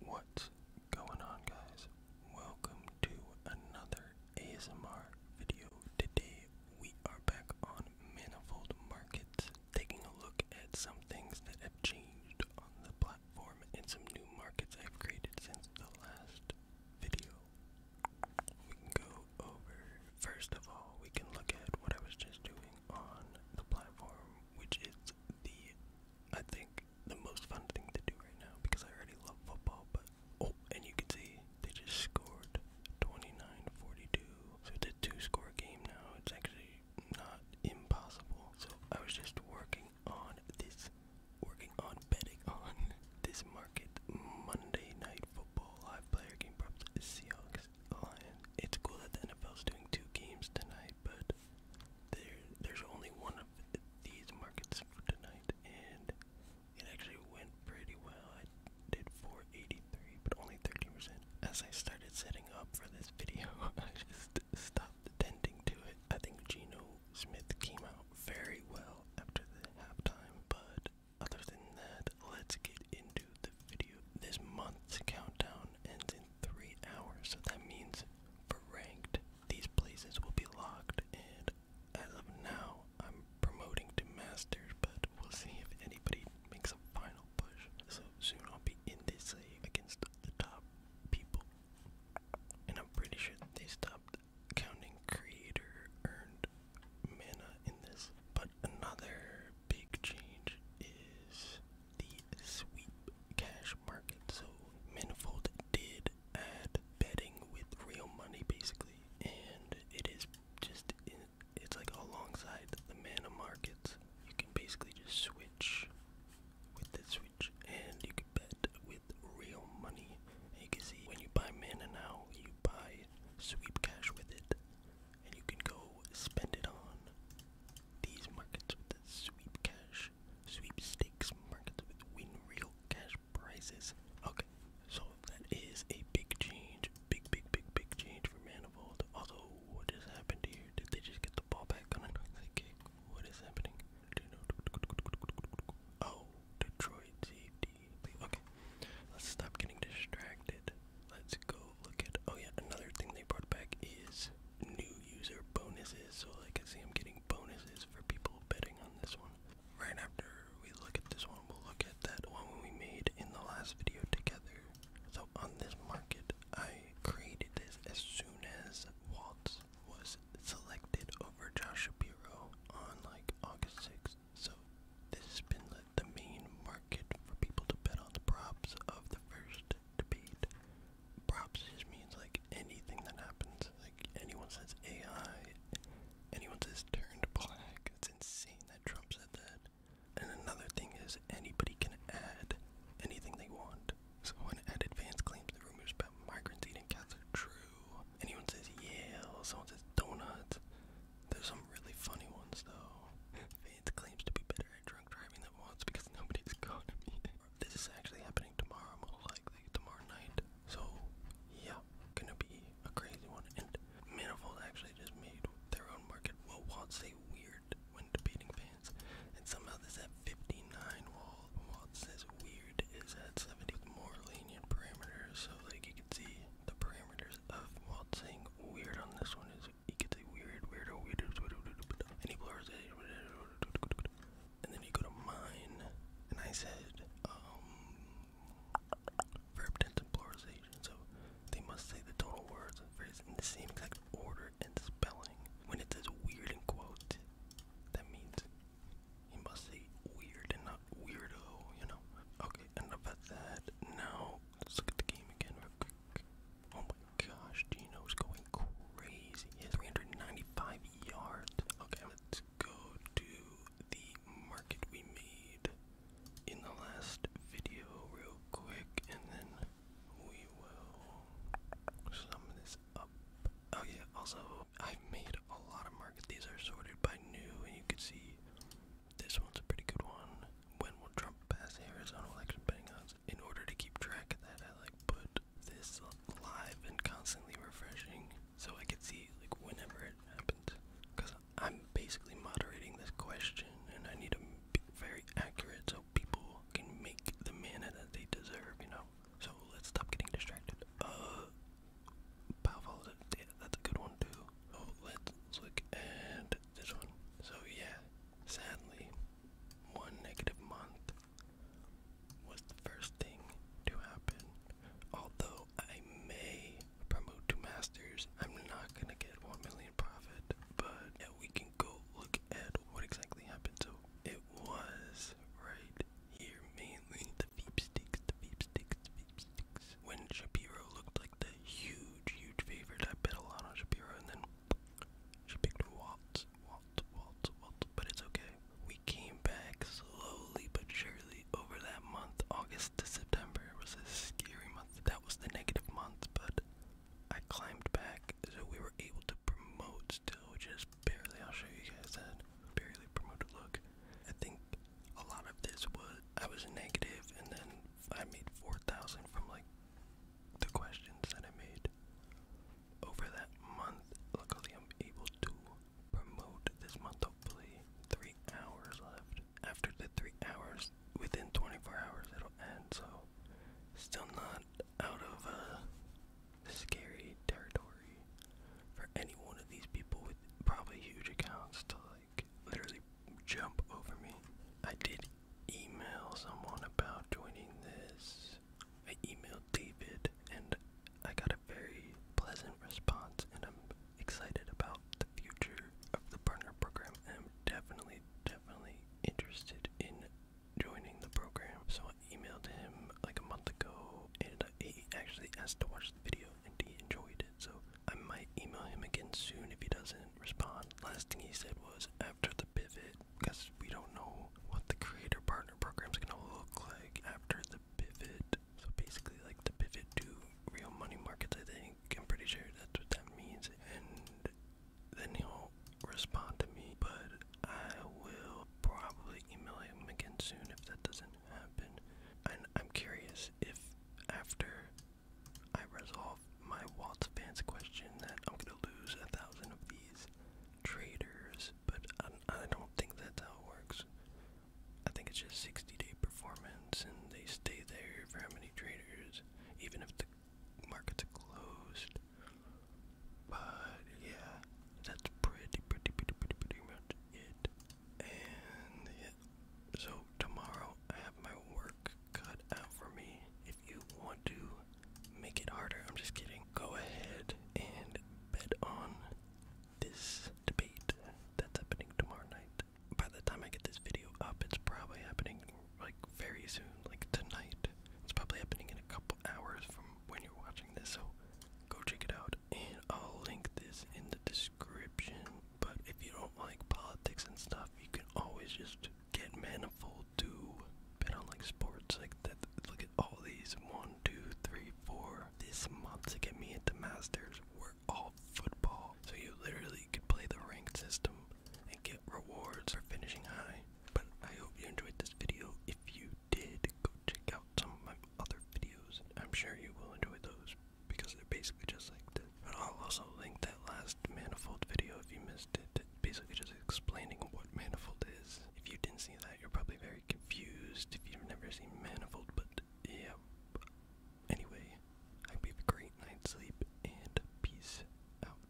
What's going on guys? Welcome to another ASMR video. Today we are back on Manifold Markets, taking a look at some things that have changed on the platform and some new markets I've created since the last video. We can go over, first of all, we can look at what I was just doing on the platform, which is the, I think, the most fun thing to do right now because I already love football. But oh, and you can see they just scored 29-42, so it's a two-score game now. It's actually not impossible. So I was just working on this, working on betting on this market Monday night football live player game props Seahawks Lions. It's cool that the NFL's doing two games tonight, but there there's only one of these markets for tonight and it actually went pretty well. I did 483 but only 30%. As I started setting up for this video, I just stopped attending to it. I think Geno Smith came out very well after the halftime, but other than that, let's get into this month's countdown ends in three hours, so that means for ranked, these places will be locked. And as of now, I'm promoting to masters, but we'll see if anybody makes a final push. So soon I'll be in this league against the top people. And I'm pretty sure they stopped counting creator earned mana in this. But another big change is the sweep cash market. So Manifold did add betting with real money basically, and it is just it's like alongside the mana markets. You can basically just switch with that switch, and you can bet with real money. you can see when you buy mana now, you buy sweep cash with it and you can go spend it on these markets with sweep cash, sweepstakes markets with win real cash prices. Okay, so that is a big change, big, big, big, big change for Manifold. Although, what has happened here? Did they just get the ball back on another kick? What is happening? Oh, Detroit safety. Okay, let's stop getting distracted. Let's go look at. Oh, yeah, another thing they brought back is new user bonuses. So, I can see I'm getting bonuses for people betting on this one. Right after we look at this one, we'll look at that one we made in the last video together. So, on this market, I created this as soon as Waltz was selected over Joshua Shapiro on like August 6th. So, this has been the the main market for people to bet on the props of the first debate. Props just means like anything that happens. Like anyone says AI, anyone says turned black. It's insane that Trump said that. And another thing is anybody can add anything they want. So when ad advance claims the rumors about migrants eating cats are true, anyone says yeah, or someone says donuts, there's some really funny ones though. Vance claims to be better at drunk driving than once because nobody's caught him This is actually happening tomorrow, most likely tomorrow night. So yeah, gonna be a crazy one. And Manifold actually just made their own market. Well, Watts say weird when debating fans, and somehow this at 59 while Watts says weird is at 70 with more lenient parameters. So like you can see, the parameters of Walt saying weird on this one is he gets a weird, weirdo, weirdo, weirdo, weirdo and he blurs it, and then you go to mine, and I said, um, verb tense and pluralization, so they must say the total words and phrase in the same exact order and spelling. When it says weird in quotes, that means he must say weird and not weirdo, you know? Okay, enough of that. Now, let's look at the game again Oh my gosh, Gino's going crazy. He has 395 yards. Okay, let's go to the market we made in the last video real quick, and then we will sum this up. Oh yeah, also, I've made a lot of markets. These are sorted by new, and you can see this one's a pretty good one. When will Trump pass the Arizona election betting odds? In order to keep track of that, I like put this live and constantly refreshing so I could see like whenever it happens. Because I'm basically moderating this question and I need to be very accurate so people can make the mana that they deserve, you know? So let's stop getting distracted. Uh, powerful data. That's a good one too. So oh, let's look at this one. So yeah, sadly, one negative month was the first thing to happen. Although I may promote to masters, I'm not gonna get one million profit. But we can go look at what exactly happened. So it was right here mainly the veep the veep the veep When Shapiro looked like the huge, huge favorite, I bet a lot on Shapiro, and then she picked Waltz, Waltz, Waltz, Waltz. But it's okay. We came back slowly but surely over that month. August to September It was a scary month. That was the negative month, but I climbed back, so we were able to promote still, which is barely. I'll show you guys that barely promoted look. I think a lot of this was I was negative, and then I made four thousand from like the questions that I made over that month. Luckily, I'm able to promote this month. Hopefully, three hours left. After the three hours, within 24 hours, it'll end. So, still not out of uh, scary territory for any one of these people with probably huge accounts to like literally jump over me. I did email someone about joining this. I emailed David and I got a very pleasant response and I'm excited about the future of the burner program. I'm definitely definitely interested in joining the program. So emailed him like a month ago, and he actually asked to watch the video, and he enjoyed it. So I might email him again soon if he doesn't respond. Last thing he said was after the pivot, because we don't know what the creator partner program is gonna look like after the pivot. So basically, like the pivot to real money markets, I think. I'm pretty sure that's what that means. And then he'll respond to me, but I will probably email him again soon if that doesn't happen. And I'm curious if after I resolve my Waltz fans question that I'm gonna lose a thousand of these traders, but I, I don't think that's how it works. I think it's just 60 day performance and they stay there for how many traders, even if the market's closed. But yeah, that's pretty, pretty, pretty, pretty, pretty much it. And so tomorrow I have my work cut out for me. If you want to make it harder, I'm just kidding. Go ahead and bet on this debate that's happening tomorrow night. By the time I get this video up, it's probably happening like very soon, like tonight. It's probably happening in a couple hours from when you're watching this. So go check it out, and I'll link this in the description. But if you don't like politics and stuff, you can always just get Manifold to bet on like sports. Like that. Look at all these one, two, three, four. This month to get me into Masters, we're all football. So you literally could play the ranked system and get rewards for finishing high. But I hope you enjoyed this video. If you did, go check out some of my other videos. I'm sure you will enjoy those because they're basically just like this. But I'll also link that last manifold video if you missed it. It's basically just explaining what manifold is. If you didn't see that, you're probably very confused if you've never seen manifold, but yeah. Anyway, I hope you have a great night's sleep and peace out.